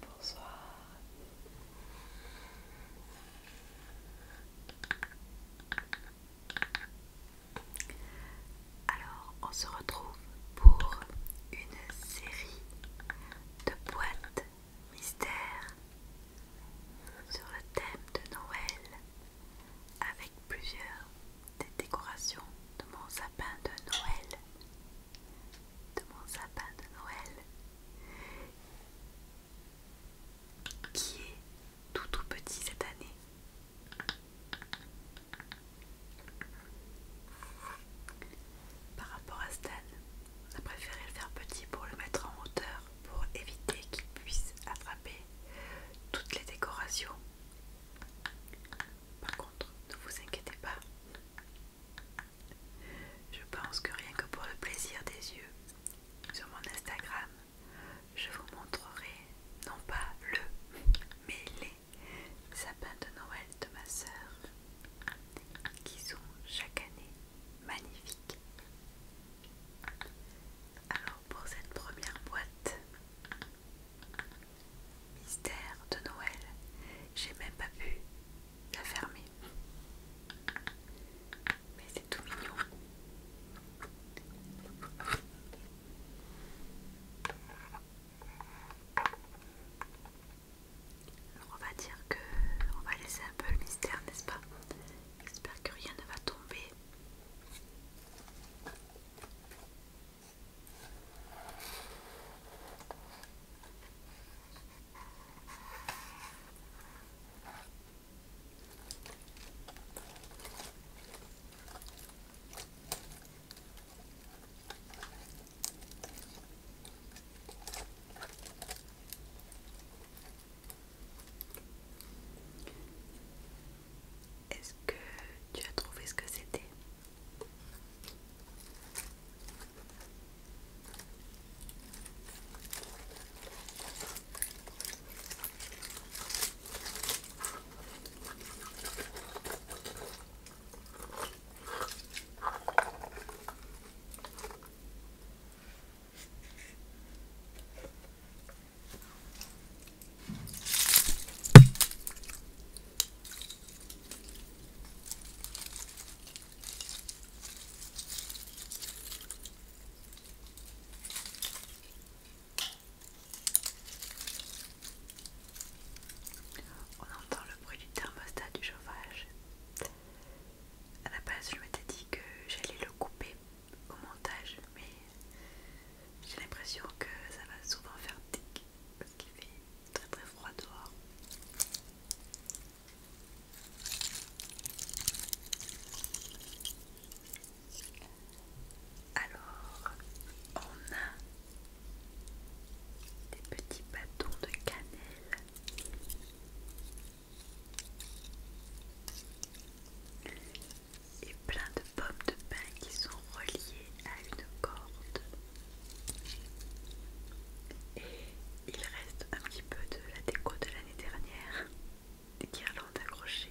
Bonsoir. Alors, on se retrouve pour une série de boîtes mystères sur le thème de Noël avec plusieurs des décorations de mon sapin de Noël. De mon sapin de Noël qui est tout tout petit cette année. Par rapport à Stan, on a préféré le faire petit pour le mettre en hauteur pour éviter qu'il puisse attraper toutes les décorations. Par contre, ne vous inquiétez pas. Je pense que rien que pour le plaisir des yeux, sur mon Instagram, je vous montrerai non pas le, mais les sapins de Noël de ma sœur, qui sont chaque année magnifiques. Alors pour cette première boîte, mystère de Noël, j'ai même pas pu la fermer. Mais c'est tout mignon. Alors on va dire que on va laisser un peu le mystère, n'est-ce pas J'espère que rien ne va tomber. Est-ce que tu as trouvé ce que c'était on entend le bruit du thermostat du chauffage à la base je m'étais dit que j'allais le couper au montage mais j'ai l'impression que ça va souvent faire tic parce qu'il fait très très froid dehors alors on a des petits bâtons de cannelle et plein de pommes de pin qui sont reliées à une corde et il reste un petit peu de la déco de l'année dernière des guirlandes accrochées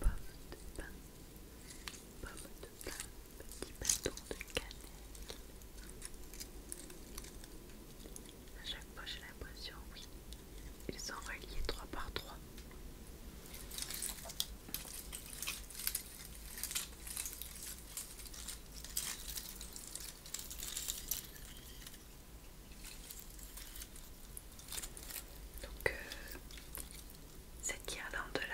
Pomme de pain, pomme de pain, petit bâton de cannelle. À chaque fois, j'ai l'impression, oui, ils sont reliés trois par trois. Donc euh, cette de là.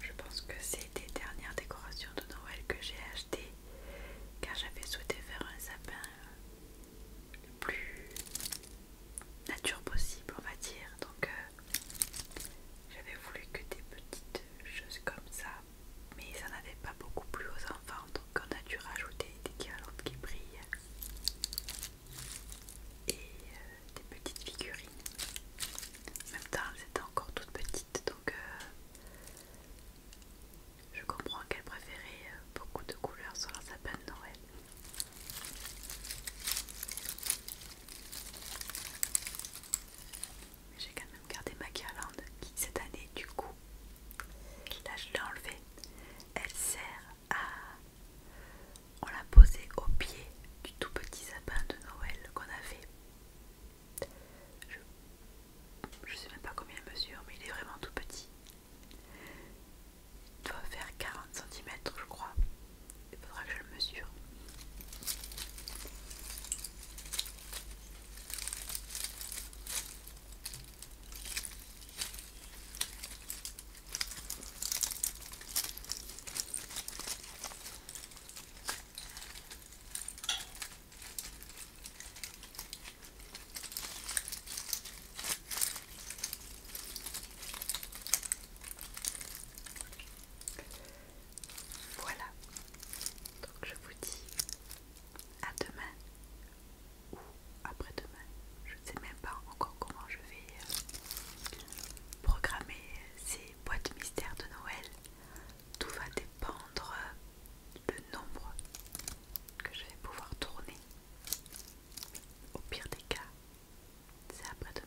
Je pense que c'est des dernières décorations de Noël que j'ai achetées car j'avais souhaité faire un sapin le plus nature possible, on va dire. Donc euh, j'avais voulu que des petites choses comme ça, mais ça n'avait pas beaucoup plu aux enfants, donc on a dû rajouter des guirlandes qui brillent et euh, des petites figurines. En même temps, elles étaient encore toutes petites, donc euh, je comprends qu'elle préférait euh, beaucoup de couleurs sur un sapin de Noël. J'ai quand même gardé ma guirlande qui cette année du coup, là je l'ai enlevée, elle sert à... On l'a posée au pied du tout petit sapin de Noël qu'on avait je ne sais même pas combien il mesure, mais il est vraiment tout petit. Il doit faire 40 cm, je crois. Il faudra que je le mesure. Voilà, donc je vous dis à demain ou après-demain, je ne sais même pas encore comment je vais euh, programmer ces les boîtes mystères de Noël, tout va dépendre le nombre que je vais pouvoir tourner. Au pire des cas, c'est après-demain.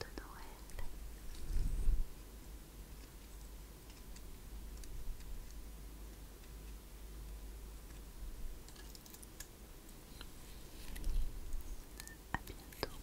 de Noël. À bientôt.